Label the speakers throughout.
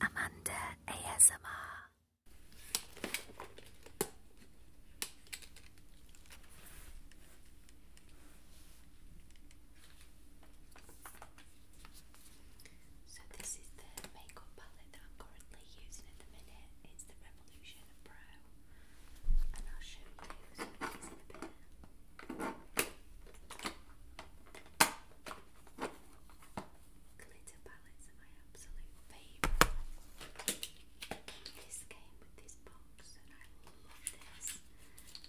Speaker 1: Amanda ASMR.
Speaker 2: So this is the makeup palette that I'm currently using at the minute. It's the Revolution Pro, and I'll show you some in a bit. Glitter palettes are my absolute favourite. This came with this box and I love this.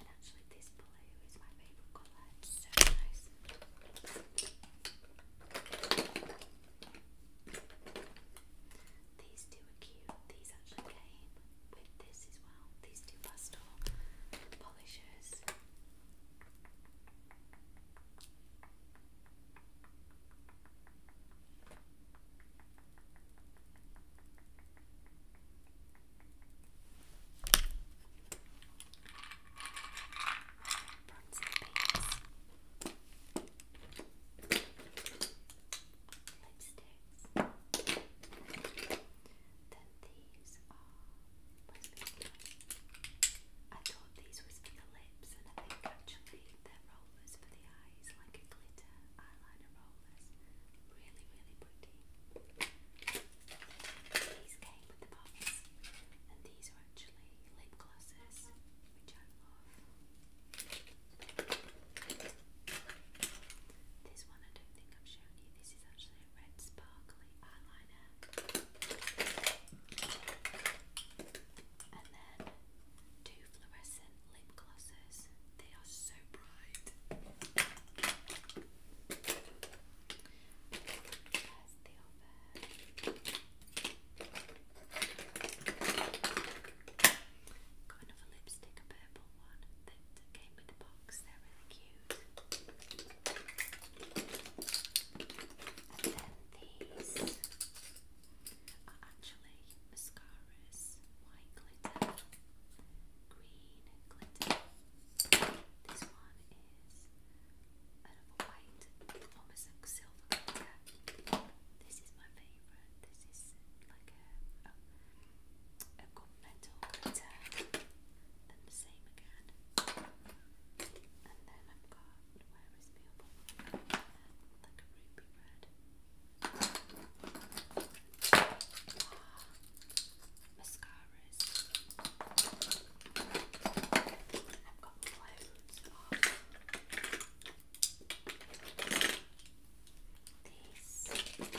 Speaker 2: And actually this blue is my favourite colour. so nice. These two are cute. These actually came with this these two pastel polishes. Bronzy paints. Lipsticks these are. I thought these was for the and I think actually they're rollers for the eyes, like a glitter eyeliner rollers. Really, really pretty. These came with the box, and these are actually lip glosses, which I love. This one I don't think I've shown you. This is actually a red sparkly eyeliner. And then two fluorescent lip glosses. They are so bright. There's the other. Got another lipstick, a purple one that came with the box. They're really cute. And then these are actually mascaras. White
Speaker 3: glitter, green glitter. This one is another white, almost like silver stuff like This is my favourite. This is like a, a, a gunmetal Then the same again. And then I've got, where is the like a ruby red. Ah, mascaras. I've got loads this. Loads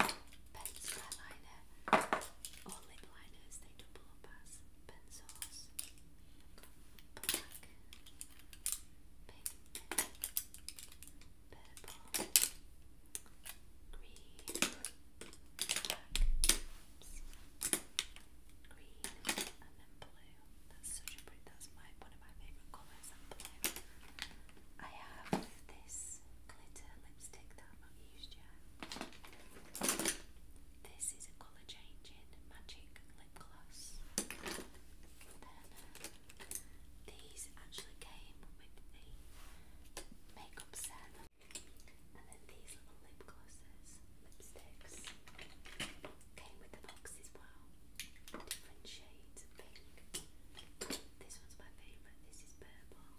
Speaker 3: of pencil eyeliner or lip liners, they double up as pencils. Black, pink, purple, green, black, green, and then blue. That's such pretty, that's my, one of my favourite colours, I have this glitter lipstick that I've not used yet. This is a colour changing magic lip gloss. These actually came with the makeup set, and then these little lip glosses, lipsticks, came with the box as well. Different shades This one's my favourite. This is purple.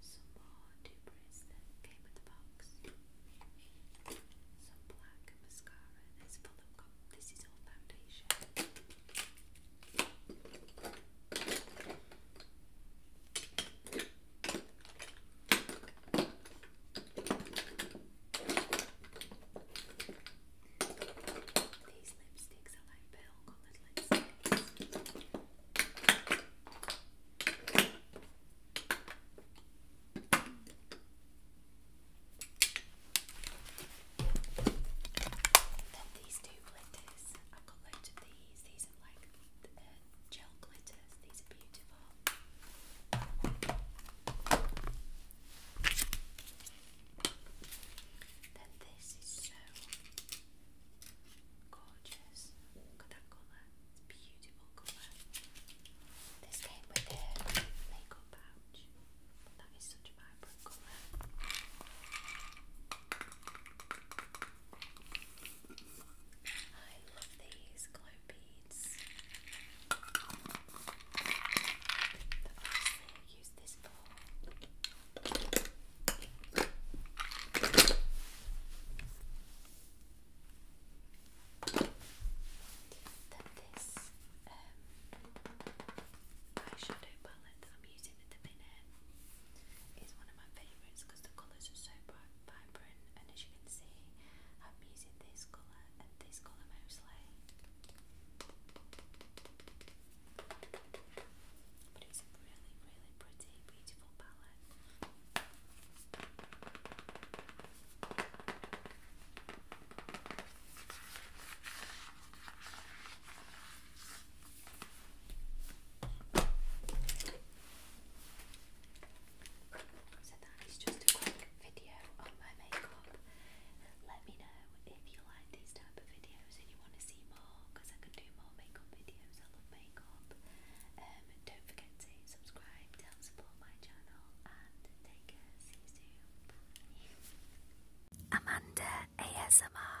Speaker 3: some more debris that came in the box, some black mascara, this full of this is all foundation.
Speaker 2: These lipsticks are like pearl solid. Let's see. Then these two glitters. I've got loads of these. These are like the, uh, gel glitters. These are beautiful. Then this is so gorgeous. Look at that colour. It's beautiful colour. This came with a makeup pouch. that is such a vibrant colour. I love these glow beads this um, eyeshadow palette that I'm using at the minute is one of my favourites because the colours are so bright, vibrant and as you can see I'm using this colour and this colour But it's really, really pretty, beautiful palette video on my makeup. Let me know if you like these type of videos and you want to see more I can do more makeup videos. I love makeup. Um, don't forget to subscribe help support my channel and take care. See
Speaker 4: you Amanda ASMR.